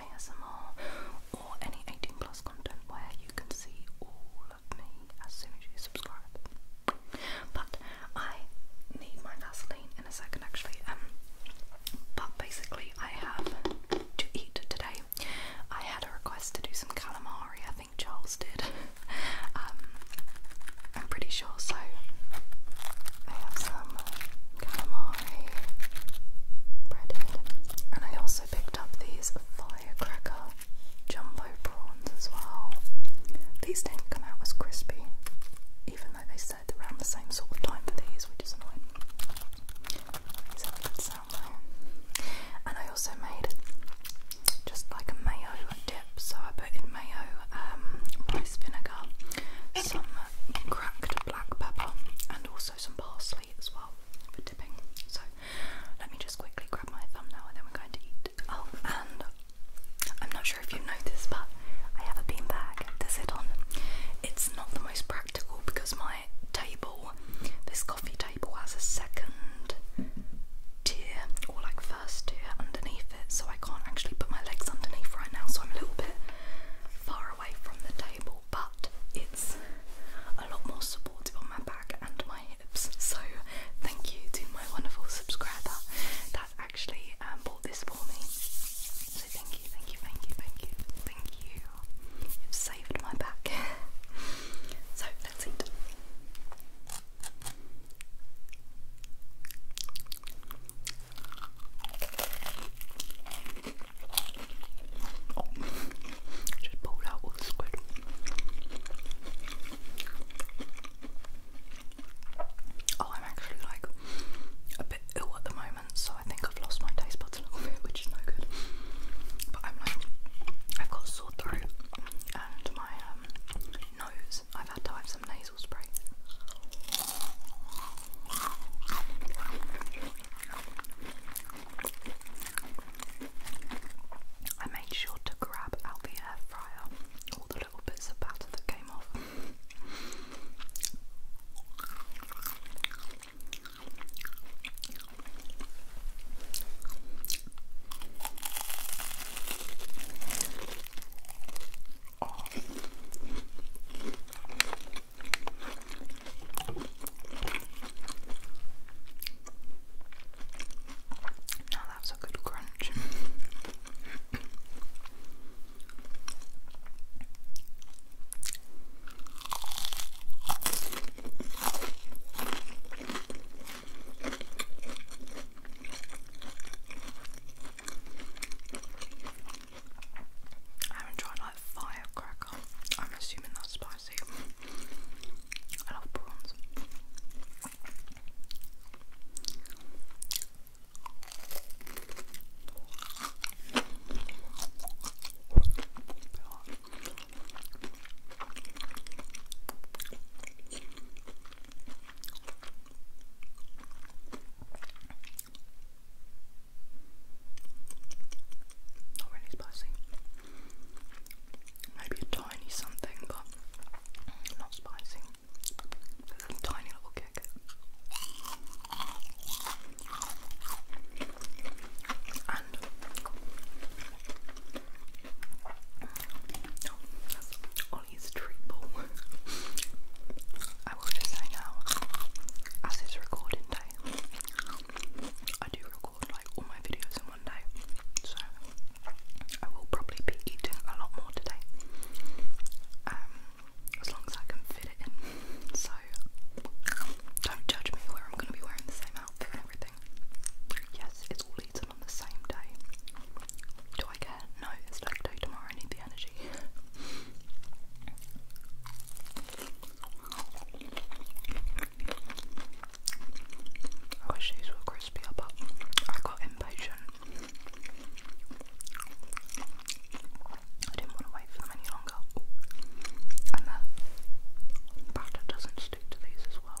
ASMR or any 18 plus content where you can see all of me as soon as you subscribe. But I need my Vaseline in a second actually. Um, but basically I have to eat today. I had a request to do some calamari, I think Charles did. Um, I'm pretty sure so. I have some calamari breaded. And I also picked up these firecracker jumbo prawns as well. These didn't come out as crispy, even though they said around the same sort of time for these, which is annoying. And I also made just like a mayo dip, so I put in mayo, um, rice vinegar, some cracked black pepper and also some parsley as well for dipping. So let me just quickly grab my thumbnail and then we're going to eat. Oh, and I'm not sure if you noticed, but I have a bean bag to sit on. It's not the most practical because my table, this coffee table, has a second tier or like first tier underneath it, so I can't actually put my legs underneath right now, so I'm a little bit far away from the table, but it's a lot more supportive on my back and my hips. So, thank you to my wonderful subscriber that actually um, bought this for me. So, thank you, thank you, thank you, thank you, thank you. You've saved my back. so, let's eat just pulled out all the squid. Oh, I'm actually like a bit ill at the moment, so I think I've lost my taste buds a little bit, which is no good. But I'm like, I've got a sore throat and my um, nose. I've had to nasal spray. I made sure to grab out the air fryer all the little bits of batter that came off off. Now that's a good crunch. I'm enjoying like firecracker. I'm assuming that's spicy. I love prawns. Not really spicy. Maybe a tiny something, but not spicy. Just a tiny little kick. And oh, Mommy's triple. I will just say now, as it's recording day, I do record like all my videos in one day, so I will probably be eating a lot more today. Um, as long as I can fit it in. So don't judge me where I'm gonna be wearing the same outfit and everything. Yes, it's all eaten on the same day. Do I no, it's like day tomorrow, I need the energy. I wish these were crispier, but I got impatient. I didn't want to wait for them any longer. And the batter doesn't stick to these as well.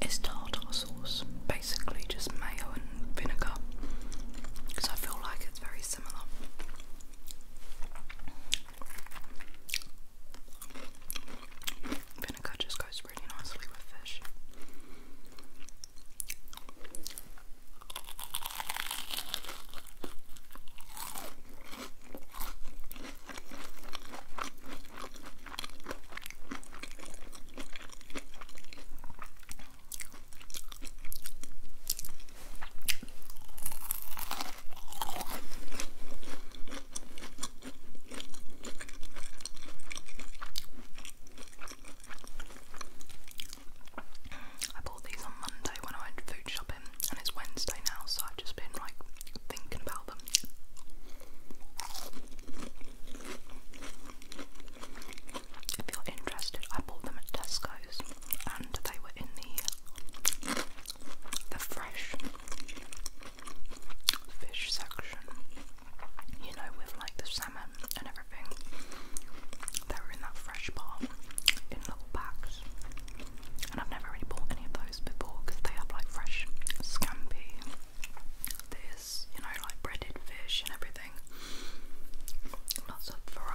It's tartar sauce, basically just mayo and vinegar. Because I feel like it's very similar. Vinegar just goes really nicely with fish. I bought these on Monday when I went food shopping, and it's Wednesday now, so I've just been like thinking about them. If you're interested, I bought them at Tesco's and they were in the the fresh fish section. You know, with like the salmon and everything. They were in that fresh bar in little packs. And I've never really bought any of those before because they have like fresh scampi. There's, you know, like breaded fish and everything everything. Lots of variety.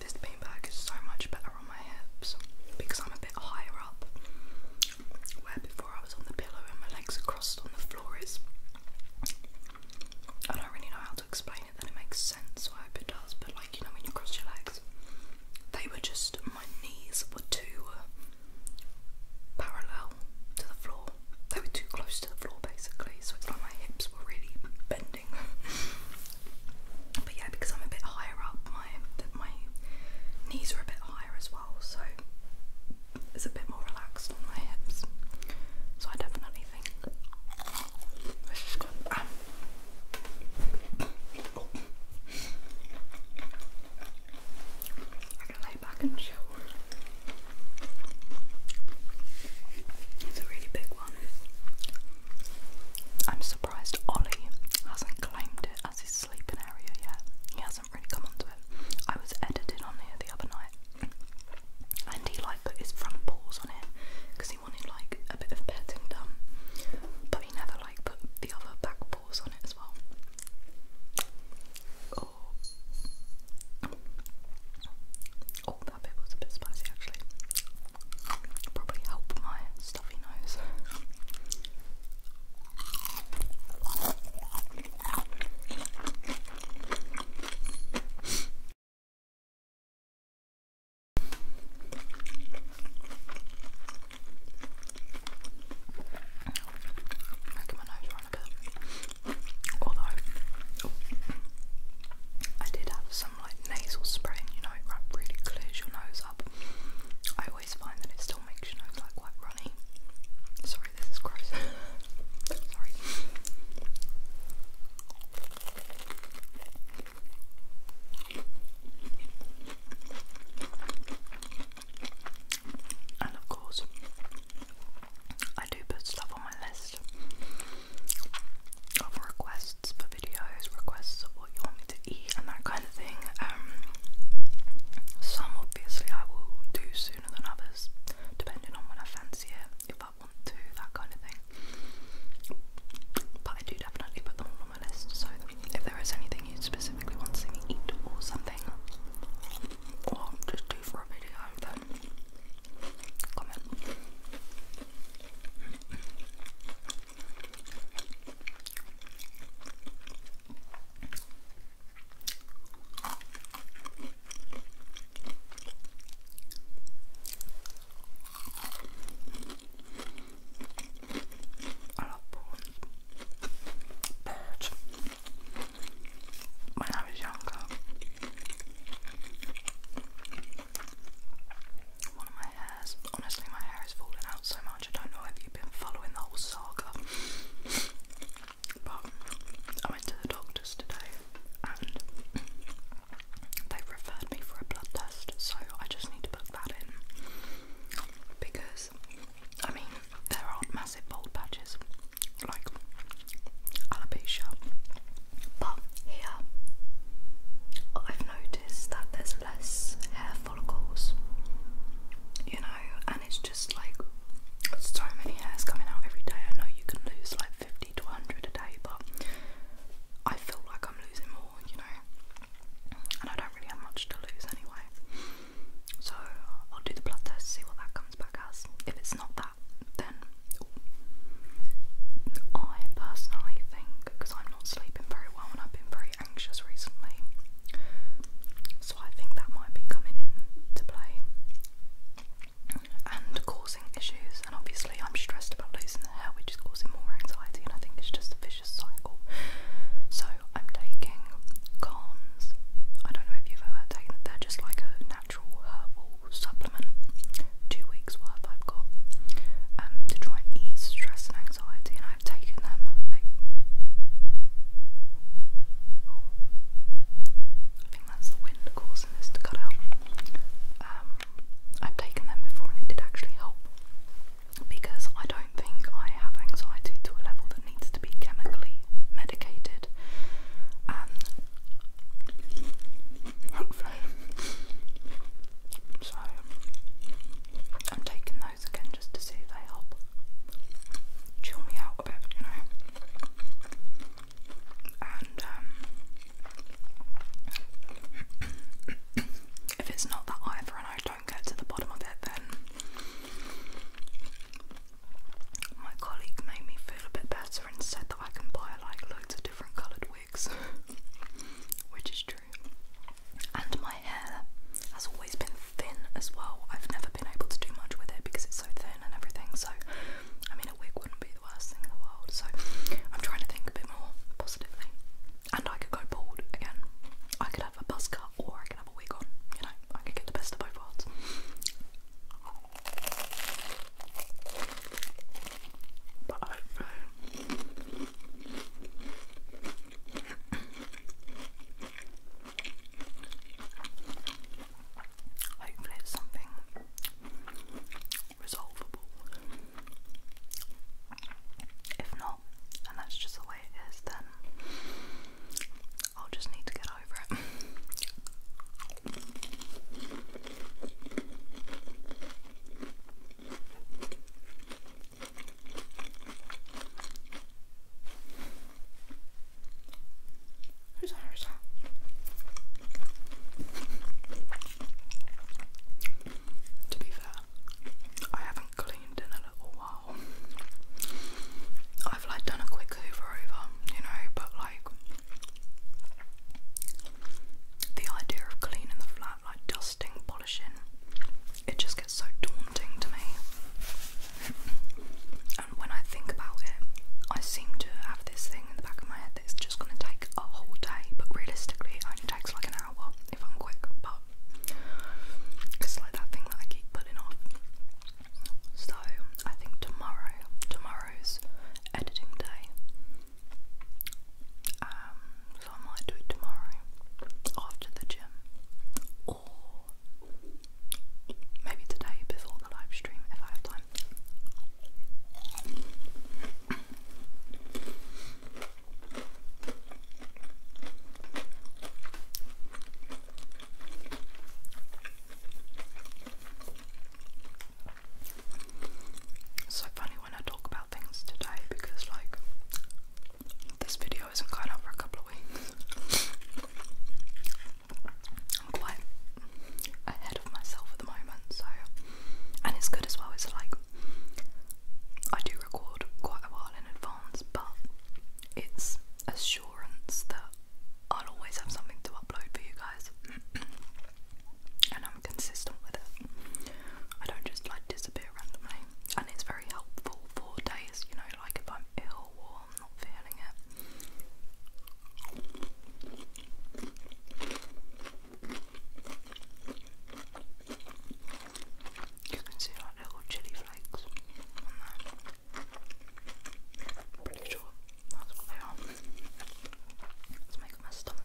This beanbag is so much better on my hips because I'm a bit higher up. Where before I was on the pillow and my legs crossed on the floor is I don't really know how explain it, then it makes sense. I hope it does. But like you know, when you cross your legs, they were just my knees were too uh, parallel to the floor. They were too close to the floor, basically. So it's like my hips were really bending. but yeah, because I'm a bit higher up, my my knees are a bit higher as well. So it's a bit more relaxed on my hips. So I definitely think I can lay back and chill. It's a really big one. I'm surprised Ollie hasn't claimed it as his sleeping area yet. He hasn't really come onto it. I was editing on here the other night and he like put his front paws on it because he wanted like a bit of petting done, but he never like put the other back paws on it as well. Oh, oh that bit was a bit spicy actually. Probably help my stuffy nose. I my nose ran a bit. Although, I did have some like nasal spraying, you know, it really clears your nose up. I always find that it still makes your nose like quite runny. Sorry, this is gross. Sorry. And of course, I do put stuff on my list of requests for videos, requests of what you want me to eat, and that kind of thing. Um, some obviously I will do sooner than others, depending on when I fancy It if I want to, that kind of thing. But I do definitely put them all on my list, so if there is anything you specifically want to see me eat or something, or just do for a video, then comment. I love prawns. But one of my hairs, honestly, my hair is falling out so much. I don't know if you've been following the whole saga but I went to the doctors today and they referred me for a blood test, so I just need to book that in. Because, I mean, there aren't massive bald patches like alopecia, but here I've noticed that there's less hair follicles, you know, and it's just like so many hairs coming out every day. I know you can lose like fifty. 150 a day, but I feel like I'm losing more, you know, and I don't really have much to lose anyway. So I'll do the blood test, see what that comes back as. If it's not that, then I personally think, because I'm not sleeping very well and I've been very anxious recently, so I think that might be coming in to play and causing issues. And obviously, I'm stressed about losing the hair, which is causing more anxiety. And I think it's just a vicious cycle. So I'm taking calms. I don't know if you've ever taken it. They're just like a natural herbal supplement. Two weeks worth I've got um, to try and ease stress and anxiety. And I've taken them. Oh think that's the wind causing this to cut out. Um, I've taken them before and it did actually help because I don't think I have anxiety to a level that needs to be chemically medicated. And hopefully, so I'm taking those again just to see if they help chill me out a bit, you know. Um, if it's not that either and I don't get to the bottom of it, then my colleague made me feel a bit better and said that I can buy like loads of different coloured wigs, which is true. And my hair has always been thin as well. I've never been able to do much with it because it's so thin and everything. So I mean, a wig wouldn't be the worst thing in the world, so I'm trying to think a bit more positively. And I could go bald again. I could have a buzz cut or I could have a wig on, you know, I could get the best of both worlds. But Hopefully, it's something resolvable. If not, and that's just the way it is, then I'll just need to get over it. 회사 회사 to be fair I haven't cleaned in a little while I've like done a quick hoover over you know but like the idea of cleaning the flat like dusting polishing it just gets so daunting to me when I think about it, I seem to have this thing in the back of my head that it's just gonna take a whole day, but realistically, it only takes like an hour if I'm quick. But it's like that thing that I keep putting off. So I think tomorrow, tomorrow's editing day. Um, so I might do it tomorrow after the gym, or maybe today before the live stream if I have time. so funny when I talk about things today because, like, this video isn't going up for a couple of weeks. I'm quite ahead of myself at the moment, so and it's good as well. It's like I do record quite a while in advance, but it's assurance that I'll always have something to upload for you guys, and I'm consistent with it. I don't just like disappear randomly, and it's very helpful for days, you know, like if I'm ill or i You can see like little chili flakes Pretty sure that's what they are. It's making my stomach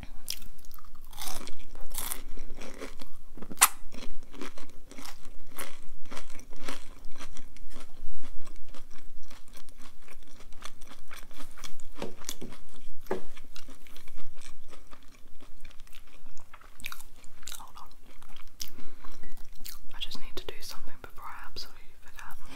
Hold on. I just need to do something before I absolutely forget.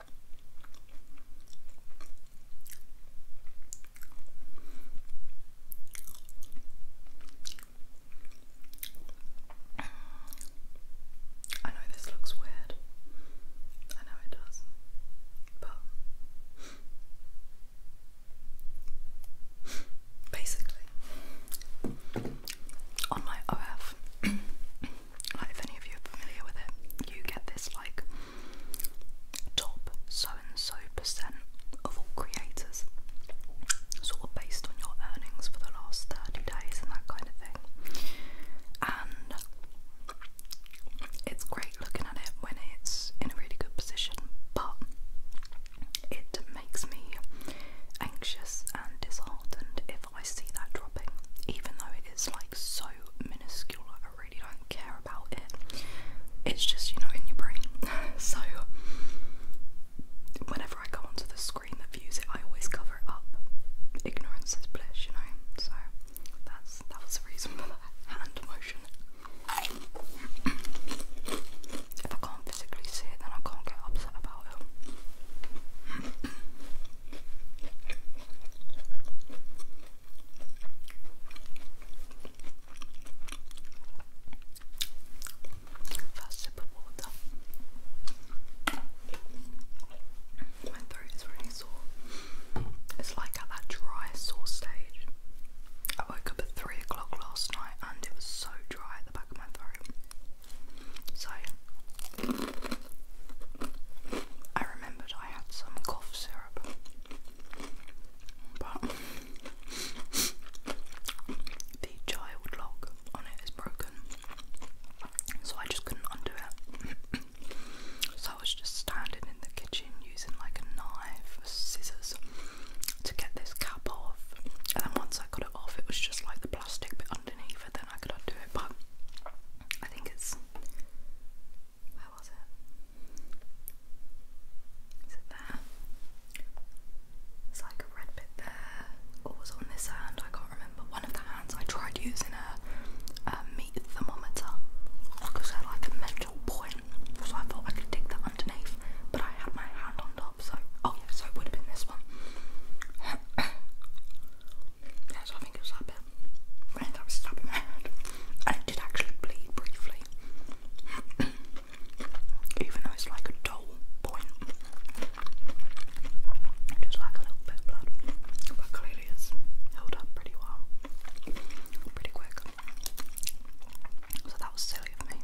I know this looks weird. I know it does. But basically on my OF like if any of you are familiar with it, you get this like top so and so percent of all creators, sort of based on your earnings for the last 30 days and that kind of thing. And it's great looking at it when it's in a really good position, but it makes me anxious and disheartened if I see that dropping, even though it is like so minuscule, I really don't care about it. It's just, you know, in your brain. so, whenever I go onto the screen that views it, I always cover it up. Ignorance is bliss, you know? So, that's that was the reason for that hand motion. if I can't physically see it, then I can't get upset about it. First sip of water. My throat is really sore. It's like at that dry sore stage. I woke up at three o'clock last night and it was so dry at the back of my throat. So I remembered I had some cough syrup, but the child lock on it is broken, so I just couldn't undo it. so I was just standing in the kitchen using like a knife, scissors to get this cap off, and then once I got it off, it was just like the plastic bit underneath, and then I could undo it. But I think it's where was it? Is it there? It's like a red bit there, or was on this hand? I can't remember. One of the hands I tried using a, meat thermometer because they like a metal point, so I thought I could dig that underneath, but I had my hand on top, so oh yeah, so it would have been this one. Yeah, so I think it was stabbing my head. it did actually bleed briefly. Even though it's like a dull point. Just like a little bit of blood. But clearly it's held up pretty well. Pretty quick. So that was silly of me.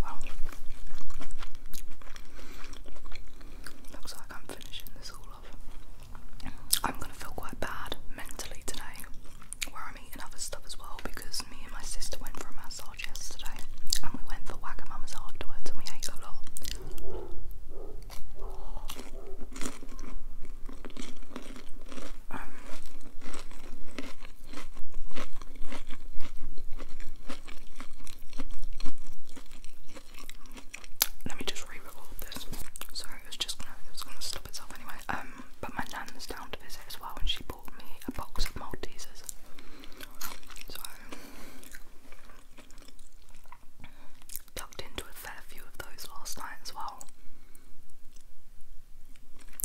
Wow. Looks like I'm finishing this all off. I'm gonna feel quite bad mentally today where I'm eating other stuff as well because me and my sister went for a massage yesterday and we went for Wagamama's afterwards and we ate a lot. Um, let me just re all this. Sorry, it was just gonna gonna stop itself anyway. Um but my nan's down to visit as well and she bought me a box of Maltesers. So Tucked into a fair few of those last night as well.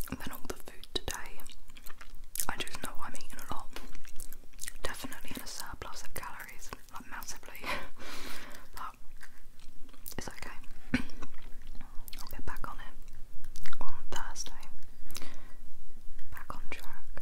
And then all the food today. I just know I'm eating a lot. Definitely in a surplus of calories, like massively. but it's okay. I'll get back on it on Thursday. Back on track.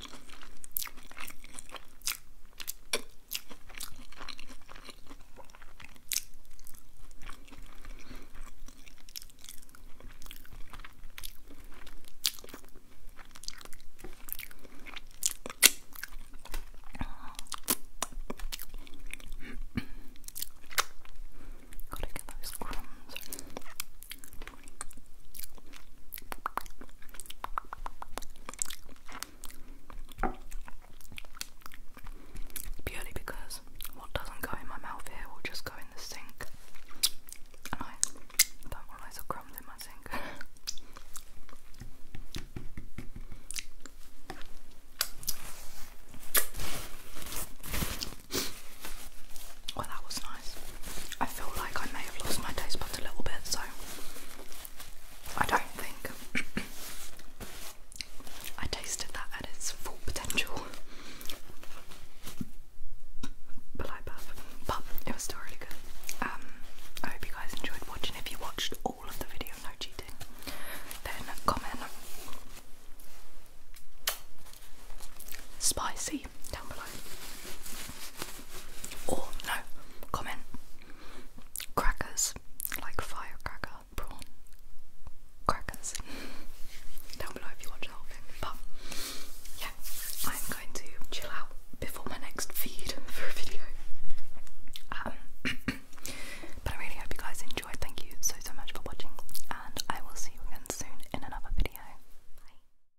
Gotta get those crumbs. Purely because what doesn't go in my mouth here will just go in the sink, and I don't want loads crumbs in my sink. well, that was nice. I feel like I may have lost my taste buds a little bit, so I don't think I tasted that at its full potential. But I love, but it was still really good. Um, I hope you guys enjoyed watching. If you watched all of the video, no cheating, then comment spicy down below. Or, no, comment. Crackers, like firecracker, prawn, crackers. down below if you watch the thing. But, yeah, I'm going to chill out before my next feed for a video. Um, but I really hope you guys enjoyed. Thank you so, so much for watching. And I will see you again soon in another video. Bye.